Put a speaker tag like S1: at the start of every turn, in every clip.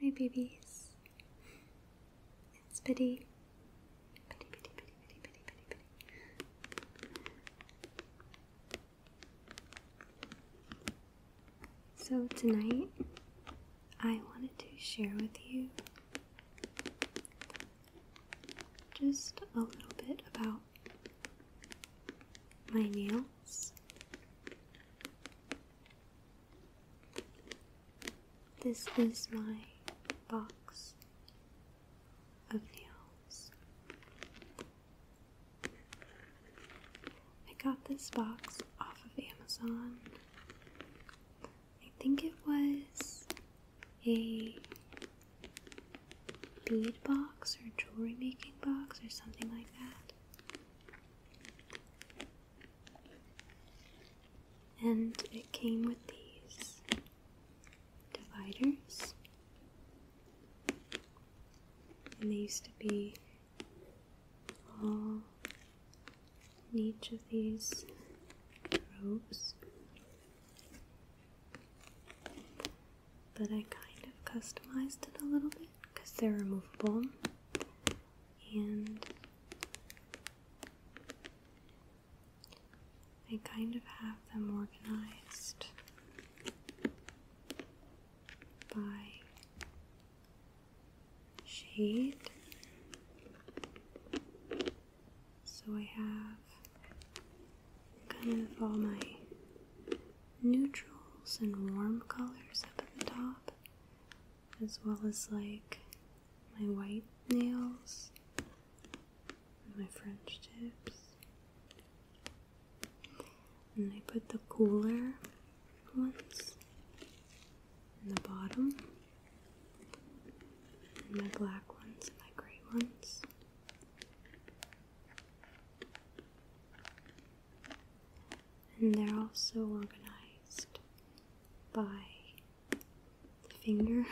S1: Hi babies. It's Biddy. So tonight I wanted to share with you just a little bit about my nails this is my box of nails. I got this box off of Amazon. I think it was a bead box or jewelry making box or something like that. And it came with these dividers. And they used to be all in each of these robes. But I kind of customized it a little bit because they're removable and I kind of have them organized by shade. So I have kind of all my neutrals and warm colors up at the top, as well as like my white nails and my French tips. And I put the cooler ones in the bottom, and my black ones and my gray ones and they're also organized by finger.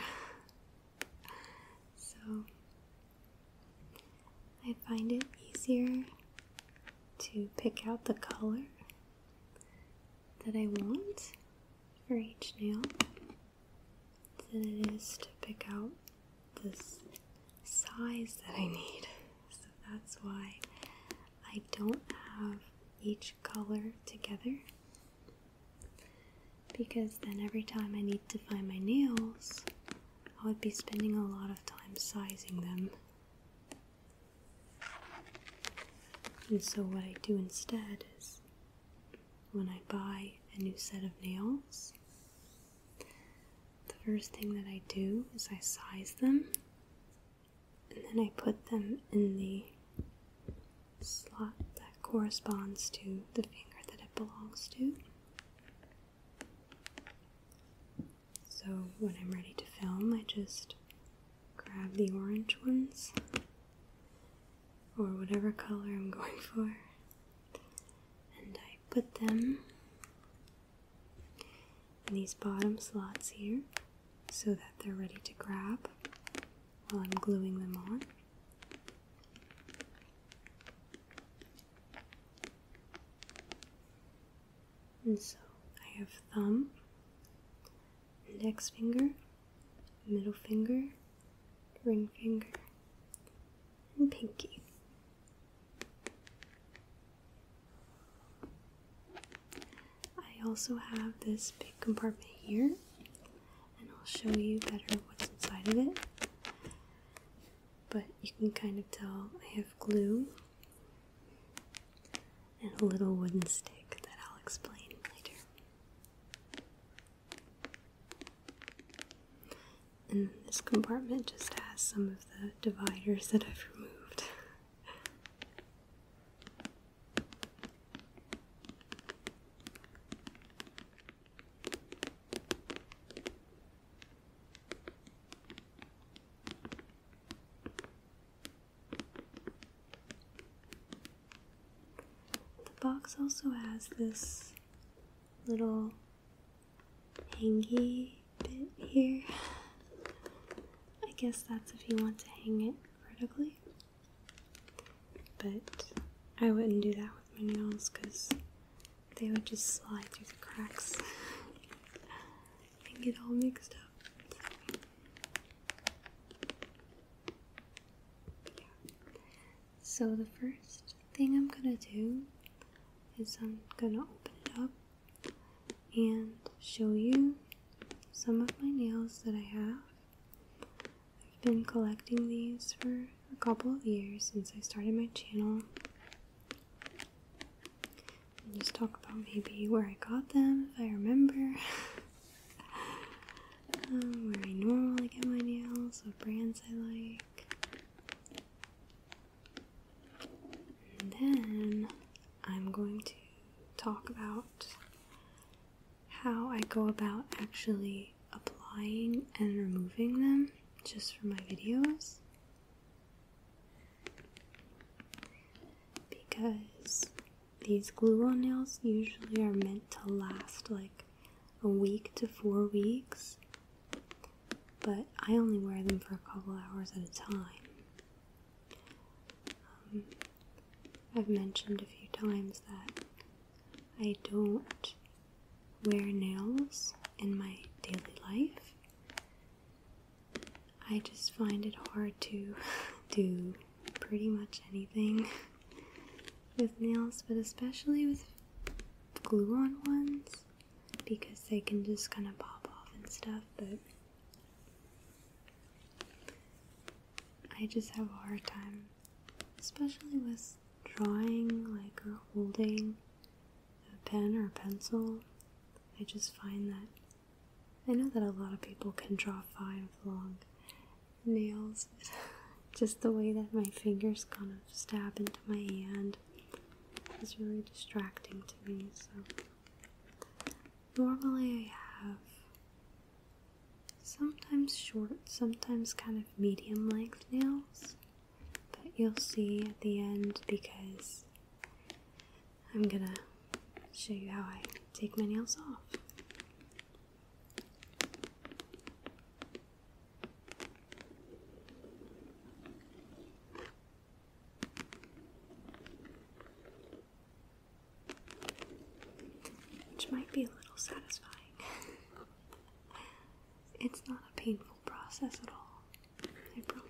S1: so I find it easier to pick out the color that I want for each nail than it is to pick out this size that I need. So that's why I don't have each color together because then every time I need to find my nails, I would be spending a lot of time sizing them. And so, what I do instead is when I buy a new set of nails, the first thing that I do is I size them and then I put them in the slot that corresponds to the finger that it belongs to. So when I'm ready to film, I just grab the orange ones or whatever color I'm going for and I put them in these bottom slots here so that they're ready to grab while I'm gluing them on. And so I have thumb, index finger, middle finger, ring finger, and pinky. I also have this big compartment here, and I'll show you better what's inside of it. But you can kind of tell I have glue and a little wooden stick that I'll explain later. And this compartment just has some of the dividers that I've removed. The box also has this little hangy bit here. I guess that's if you want to hang it vertically. But I wouldn't do that with my nails because they would just slide through the cracks and get all mixed up. So the first thing I'm gonna do is I'm gonna open it up and show you some of my nails that I have. I've been collecting these for a couple of years since I started my channel. And just talk about maybe where I got them if I remember. um, where I normally get my nails, what brands I like then I'm going to talk about how I go about actually applying and removing them just for my videos. Because these glue on nails usually are meant to last like a week to four weeks, but I only wear them for a couple hours at a time. Um, I've mentioned a few times that I don't wear nails in my daily life. I just find it hard to do pretty much anything with nails, but especially with glue on ones because they can just kind of pop off and stuff, but I just have a hard time, especially with drawing like or holding a pen or a pencil. I just find that I know that a lot of people can draw five long nails, just the way that my fingers kind of stab into my hand is really distracting to me. So, normally I have sometimes short, sometimes kind of medium length nails, but you'll see at the end because I'm gonna show you how I take my nails off. Which might be a little satisfying. it's not a painful process at all, I promise.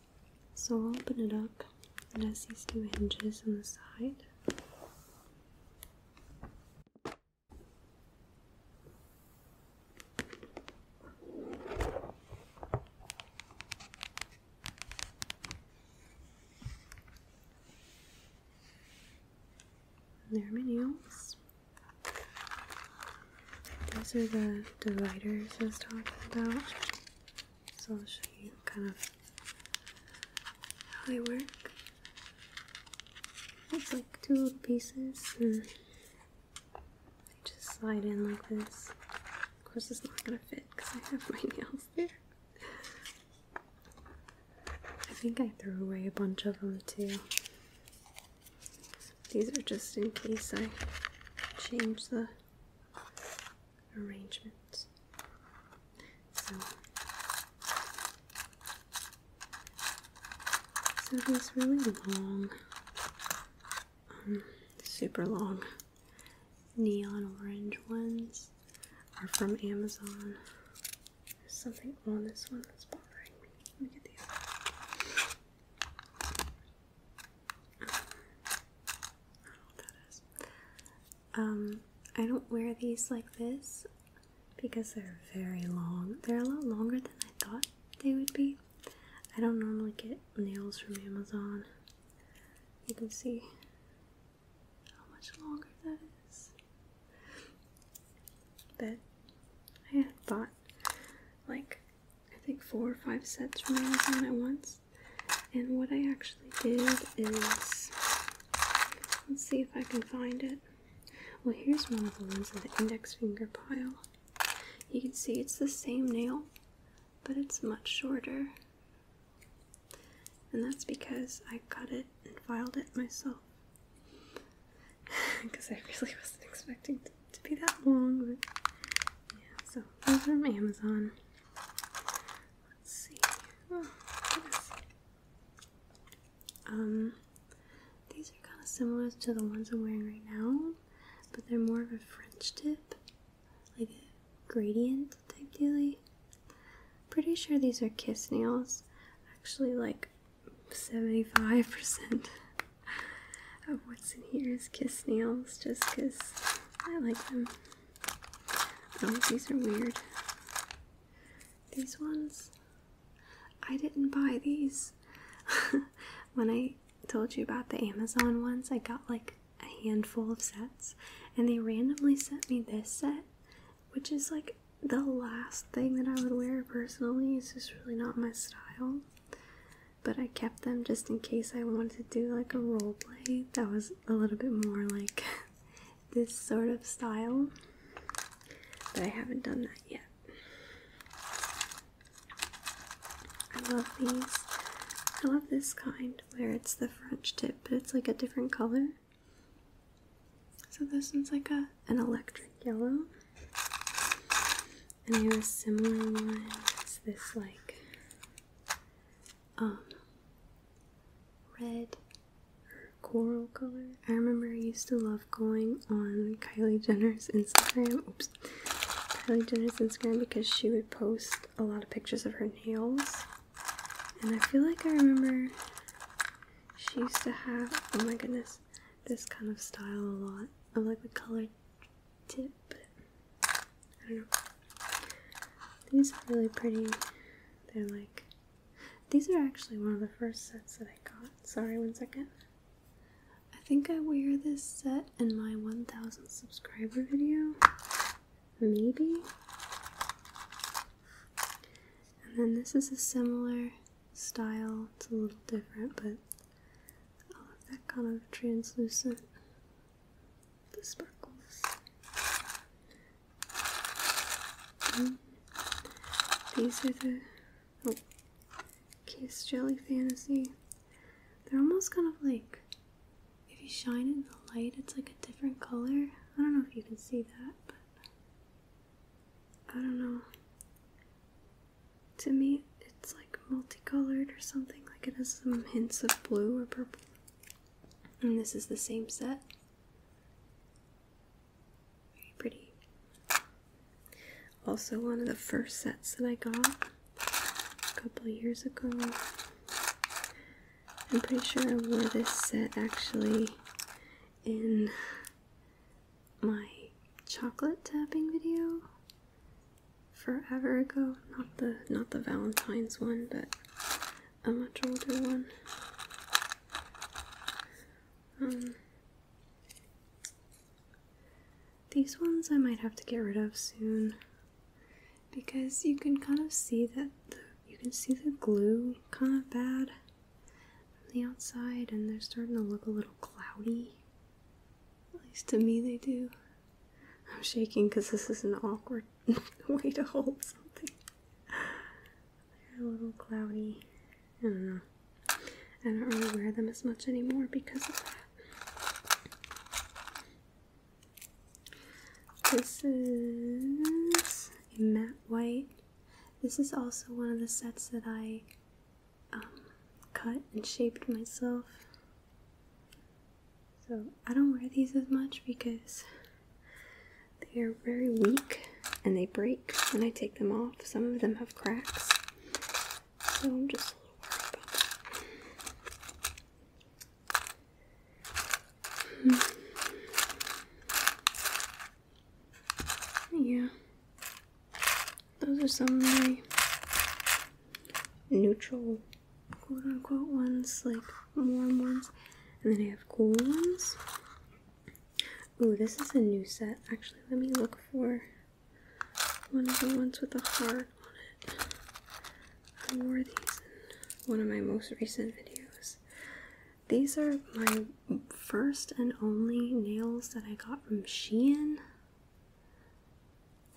S1: So I'll open it up. It has these two hinges on the side. And there are my nails. These are the dividers I was talking about. So I'll show you kind of how they work. It's like two little pieces and they just slide in like this. Of course it's not gonna fit because I have my nails there. I think I threw away a bunch of them too. These are just in case I change the Arrangements. So, so these really long, um, super long neon orange ones are from Amazon. There's something on this one that's bothering me. Let me get these. I don't Um, I don't wear these like this because they're very long. They're a lot longer than I thought they would be. I don't normally get nails from Amazon. You can see how much longer that is. But I had thought like I think four or five sets from Amazon at once. And what I actually did is let's see if I can find it. Well, here's one of the ones in the index finger pile. You can see it's the same nail, but it's much shorter. And that's because I cut it and filed it myself. Because I really wasn't expecting to to be that long, but yeah, so those are from Amazon. Let's see. Oh, um, these are kind of similar to the ones I'm wearing right now, but they're more of a French tip, like a gradient type dealy. Pretty sure these are kiss nails, actually, like 75% of what's in here is kiss nails just because I like them. Oh, these are weird. These ones. I didn't buy these. when I told you about the Amazon ones, I got like a handful of sets, and they randomly sent me this set, which is like the last thing that I would wear personally. It's just really not my style but I kept them just in case I wanted to do like a role play that was a little bit more like this sort of style. But I haven't done that yet. I love these. I love this kind where it's the French tip, but it's like a different color. So this one's like a an electric yellow. And I have a similar one. It's this like um red or coral color. I remember I used to love going on Kylie Jenner's Instagram. Oops. Kylie Jenner's Instagram because she would post a lot of pictures of her nails. And I feel like I remember she used to have oh my goodness this kind of style a lot of like the color tip. I don't know. These are really pretty. They're like these are actually one of the first sets that I got. Sorry, one second. I think I wear this set in my 1000 subscriber video. Maybe. And then this is a similar style. It's a little different, but all oh, of that kind of translucent the sparkles. Mm. these are the oh, Kiss Jelly Fantasy. They're almost kind of like if you shine it in the light, it's like a different color. I don't know if you can see that, but I don't know to me it's like multicolored or something like it has some hints of blue or purple and this is the same set very pretty also one of the first sets that i got a couple years ago i'm pretty sure i wore this set actually in my chocolate tapping video forever ago. Not the not the Valentine's one, but a much older one. Um these ones I might have to get rid of soon because you can kind of see that you can see the glue kind of bad on the outside and they're starting to look a little cloudy. At least to me they do. I'm shaking because this is an awkward way to hold something. They're a little cloudy. I don't know. I don't really wear them as much anymore because of that. This is a matte white. This is also one of the sets that I um, cut and shaped myself. So I don't wear these as much because they are very weak and they break when I take them off. Some of them have cracks. So I'm just a little worried about that. Hmm. Yeah. Those are some of my neutral, quote unquote, ones, like warm ones. And then I have cool ones. Ooh, this is a new set. Actually, let me look for one of the ones with a heart on it. I wore these in one of my most recent videos. These are my first and only nails that I got from Shein.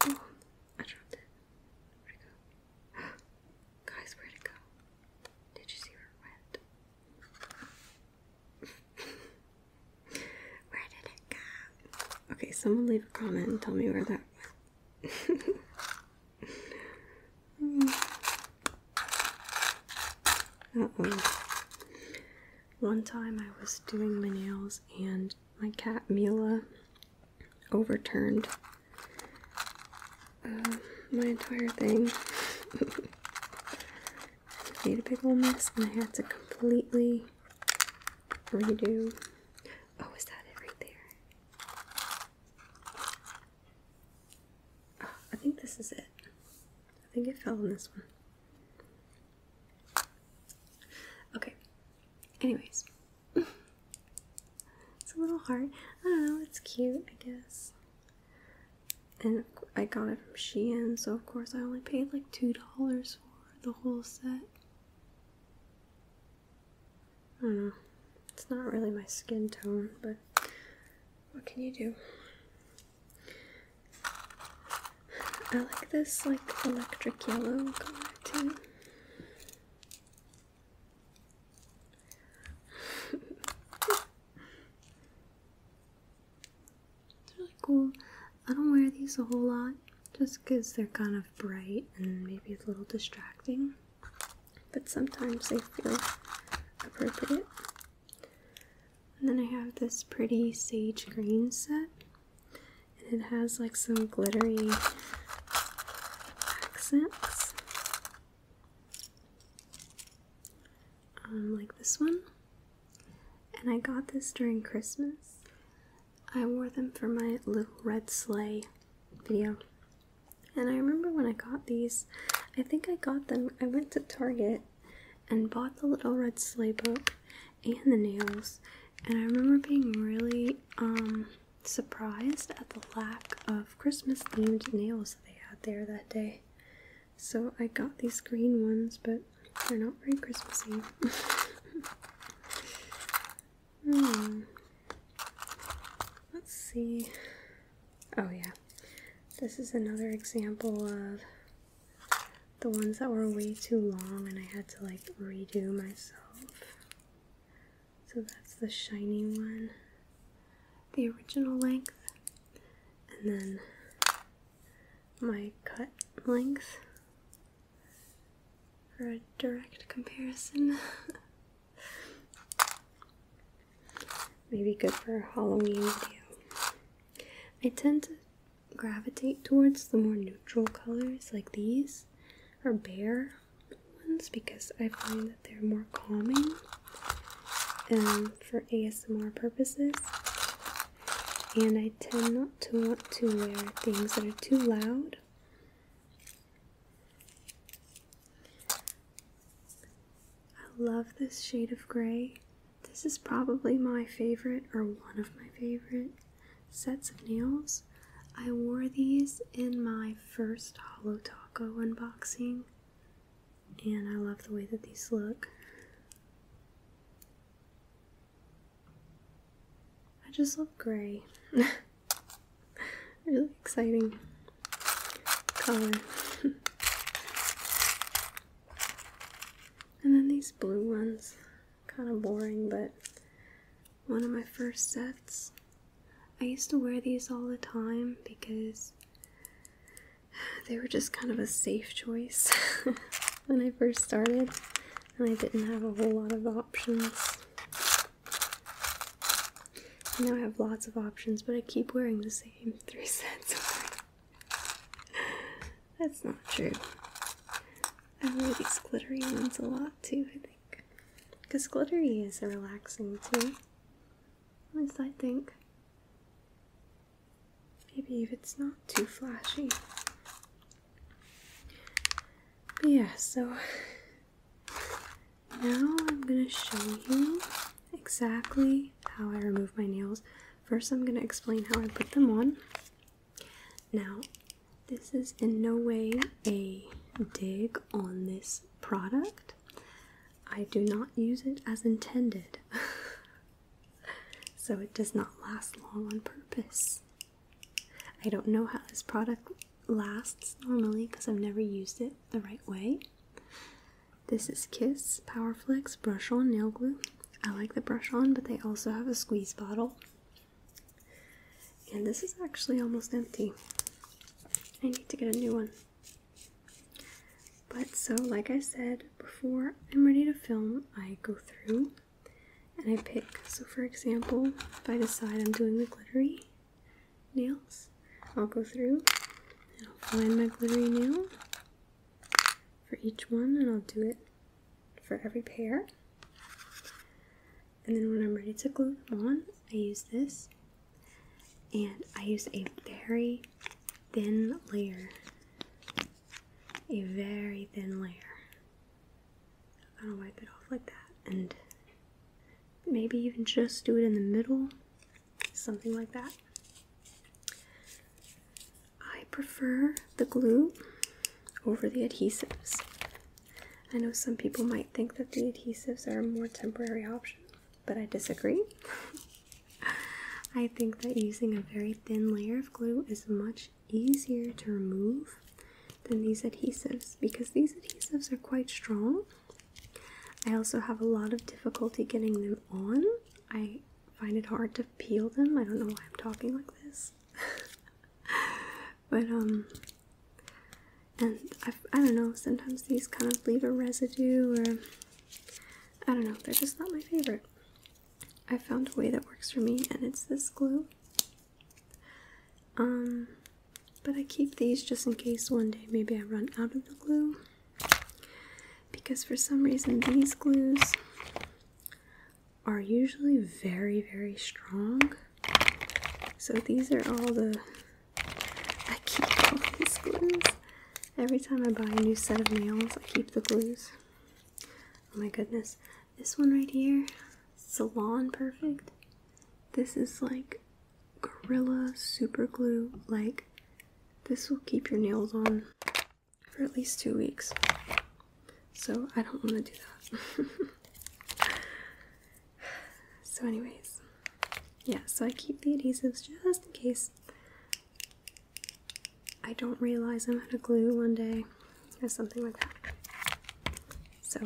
S1: I dropped it. Where'd it go? Guys, where'd it go? Did you see where it went? where did it go? Okay, someone leave a comment and tell me where that went. Uh oh. One time I was doing my nails and my cat Mila overturned uh, my entire thing. made a big old mess and I had to completely redo. Oh, is that it right there? Ah, I think this is it. I think it fell in this one. Okay. Anyways. it's a little hard. I don't know, it's cute, I guess. And I got it from Shein, so of course I only paid like $2 for the whole set. I don't know. It's not really my skin tone, but what can you do? I like this like electric yellow color too. it's really cool. I don't wear these a whole lot just because they're kind of bright and maybe a little distracting, but sometimes they feel appropriate then I have this pretty sage green set. And it has like some glittery accents. Um, like this one. And I got this during Christmas. I wore them for my little red sleigh video. And I remember when I got these, I think I got them, I went to Target and bought the Little Red Sleigh book and the nails. And I remember being really um, surprised at the lack of Christmas themed nails that they had there that day. So I got these green ones, but they're not very Christmassy. hmm. Let's see. Oh, yeah. This is another example of the ones that were way too long and I had to like redo myself. So that's the shiny one, the original length, and then my cut length for a direct comparison. Maybe good for Halloween video. I tend to gravitate towards the more neutral colors like these or bare ones because I find that they're more calming um, for ASMR purposes. And I tend not to want to wear things that are too loud. I love this shade of gray. This is probably my favorite, or one of my favorite, sets of nails. I wore these in my first Hollow Taco unboxing, and I love the way that these look. I just love gray. really exciting color. And then these blue ones, kind of boring, but one of my first sets. I used to wear these all the time because they were just kind of a safe choice when I first started, and I didn't have a whole lot of options. Now I have lots of options, but I keep wearing the same three sets. That's not true. I wear these glittery ones a lot too, I think. Because glittery is relaxing too. At least I think. Maybe if it's not too flashy. But yeah, so now I'm gonna show you exactly how I remove my nails. First, I'm going to explain how I put them on. Now, this is in no way a dig on this product. I do not use it as intended, so it does not last long on purpose. I don't know how this product lasts normally because I've never used it the right way. This is Kiss Powerflex Brush On Nail Glue. I like the brush on, but they also have a squeeze bottle. And this is actually almost empty. I need to get a new one. But so, like I said before, I'm ready to film, I go through and I pick. So, for example, if I decide I'm doing the glittery nails, I'll go through and I'll find my glittery nail for each one, and I'll do it for every pair. And then when I'm ready to glue them on, I use this, and I use a very thin layer, a very thin layer. I'm gonna wipe it off like that, and maybe even just do it in the middle something like that. I prefer the glue over the adhesives. I know some people might think that the adhesives are a more temporary option, but I disagree. I think that using a very thin layer of glue is much easier to remove than these adhesives because these adhesives are quite strong I also have a lot of difficulty getting them on. I find it hard to peel them. I don't know why I'm talking like this. but, um, and I, I don't know, sometimes these kind of leave a residue or I don't know, they're just not my favorite. I found a way that works for me and it's this glue. Um, but I keep these just in case one day maybe I run out of the glue because for some reason these glues are usually very very strong so these are all the i keep all these glues every time i buy a new set of nails i keep the glues oh my goodness this one right here salon perfect this is like Gorilla Super Glue. Like, this will keep your nails on for at least two weeks. So, I don't want to do that. so, anyways, yeah, so I keep the adhesives just in case I don't realize I'm out of glue one day or something like that. So,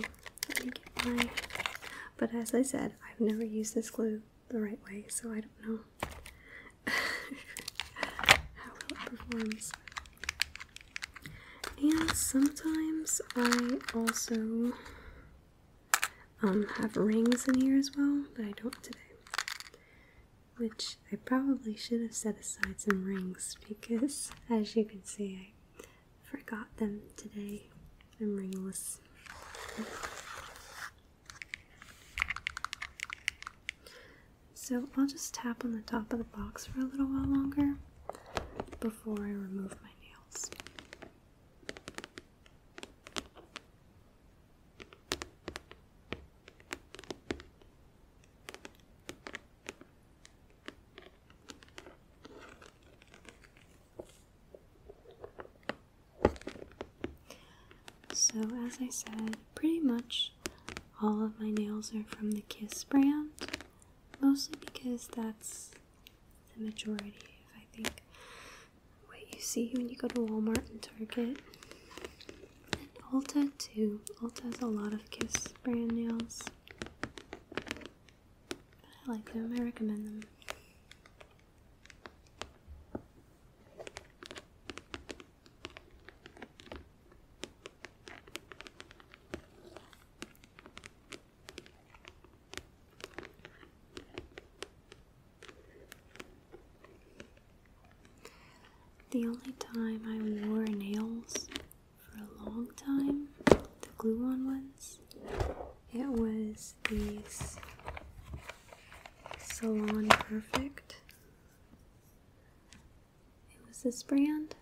S1: But as I said, I've never used this glue the right way, so I don't know how well it performs. And sometimes I also um, have rings in here as well, but I don't today. Which I probably should have set aside some rings because, as you can see, I forgot them today. I'm ringless. So I'll just tap on the top of the box for a little while longer before I remove my nails. So, as I said, pretty much all of my nails are from the Kiss brand, mostly because that's the majority of, I think, what you see when you go to Walmart and Target. And Ulta, too. Ulta has a lot of Kiss brand nails. I like them, I recommend them. The only time I wore nails for a long time, the glue on ones, it was these Salon Perfect. It was this brand.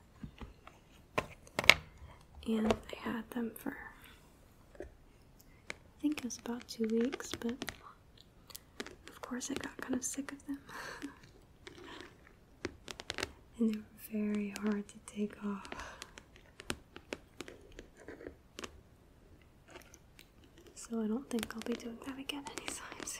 S1: And I had them for I think it was about two weeks, but of course I got kind of sick of them. and they were very hard to take off. So I don't think I'll be doing that again anytime soon.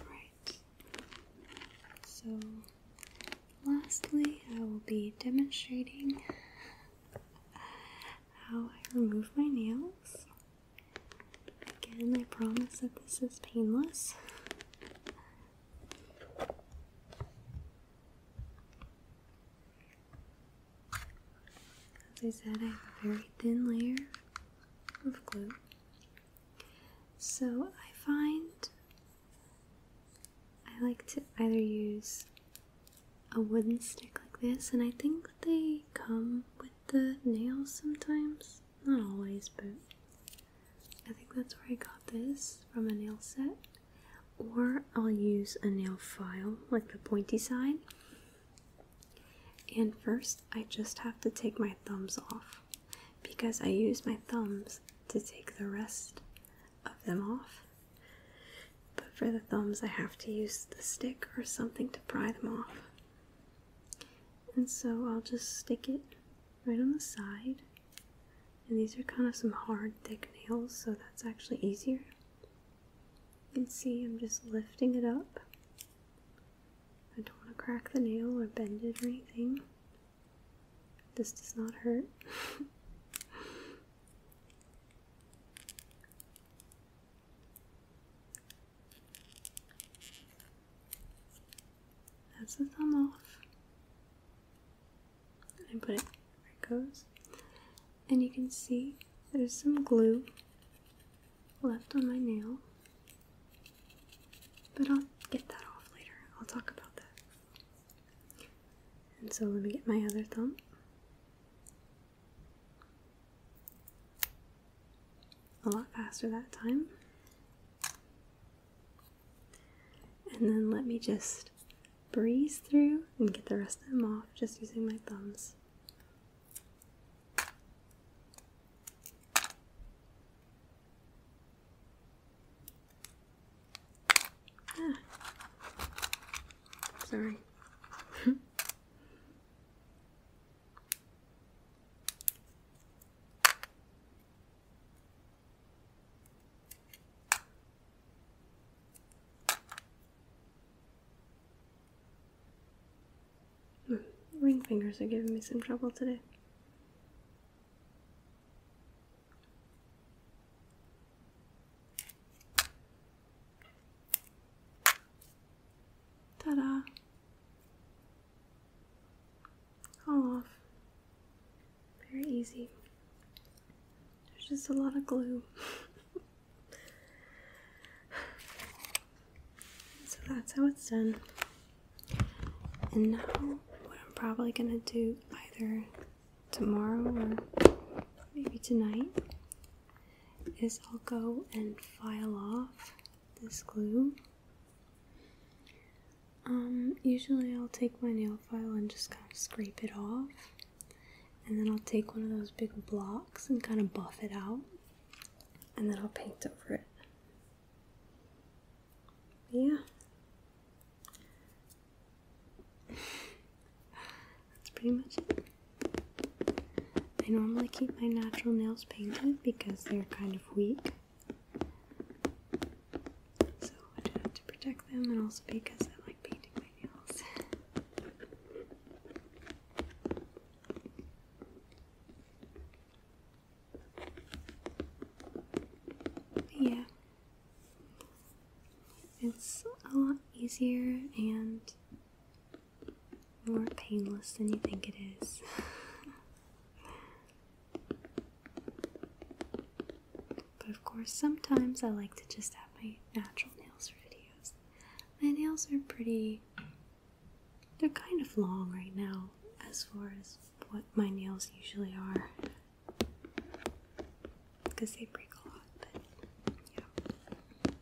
S1: Alright, so lastly, I will be demonstrating how I remove my nails. Again, I promise that this is painless. As I said, I have a very thin layer of glue. So I find I like to either use a wooden stick like this, and I think they come with the nails sometimes. Not always, but I think that's where I got this from a nail set or I'll use a nail file like the pointy side. And first, I just have to take my thumbs off because I use my thumbs to take the rest of them off. But for the thumbs, I have to use the stick or something to pry them off. And so I'll just stick it right on the side and these are kind of some hard, thick nails, so that's actually easier. You can see I'm just lifting it up. I don't want to crack the nail or bend it or anything. This does not hurt. That's the thumb off and I put it where it goes. And you can see there's some glue left on my nail. But I'll get that off later. I'll talk about that. And so let me get my other thumb. A lot faster that time. And then let me just breeze through and get the rest of them off just using my thumbs. Ah. Sorry. Hmm. ring fingers are giving me some trouble today. Ta-da! All off. Very easy. There's just a lot of glue. so that's how it's done. And now, what I'm probably gonna do either tomorrow or maybe tonight is I'll go and file off this glue. Um, usually I'll take my nail file and just kind of scrape it off. And then I'll take one of those big blocks and kind of buff it out. And then I'll paint over it. Yeah. That's pretty much it. I normally keep my natural nails painted because they're kind of weak. So I do that to protect them and also because I like painting my nails. yeah. It's a lot easier and more painless than you think it is. But of course, sometimes I like to just have my natural nails for videos. My nails are pretty, they're kind of long right now as far as what my nails usually are because they break a lot. But yeah.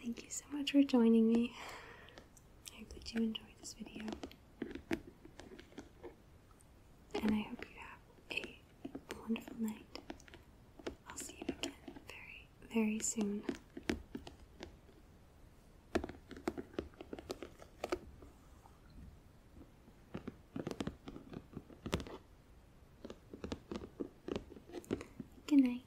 S1: Thank you so much for joining me. I hope that you enjoyed this video. And I hope you have a wonderful night. I'll see you again very, very soon. Good night.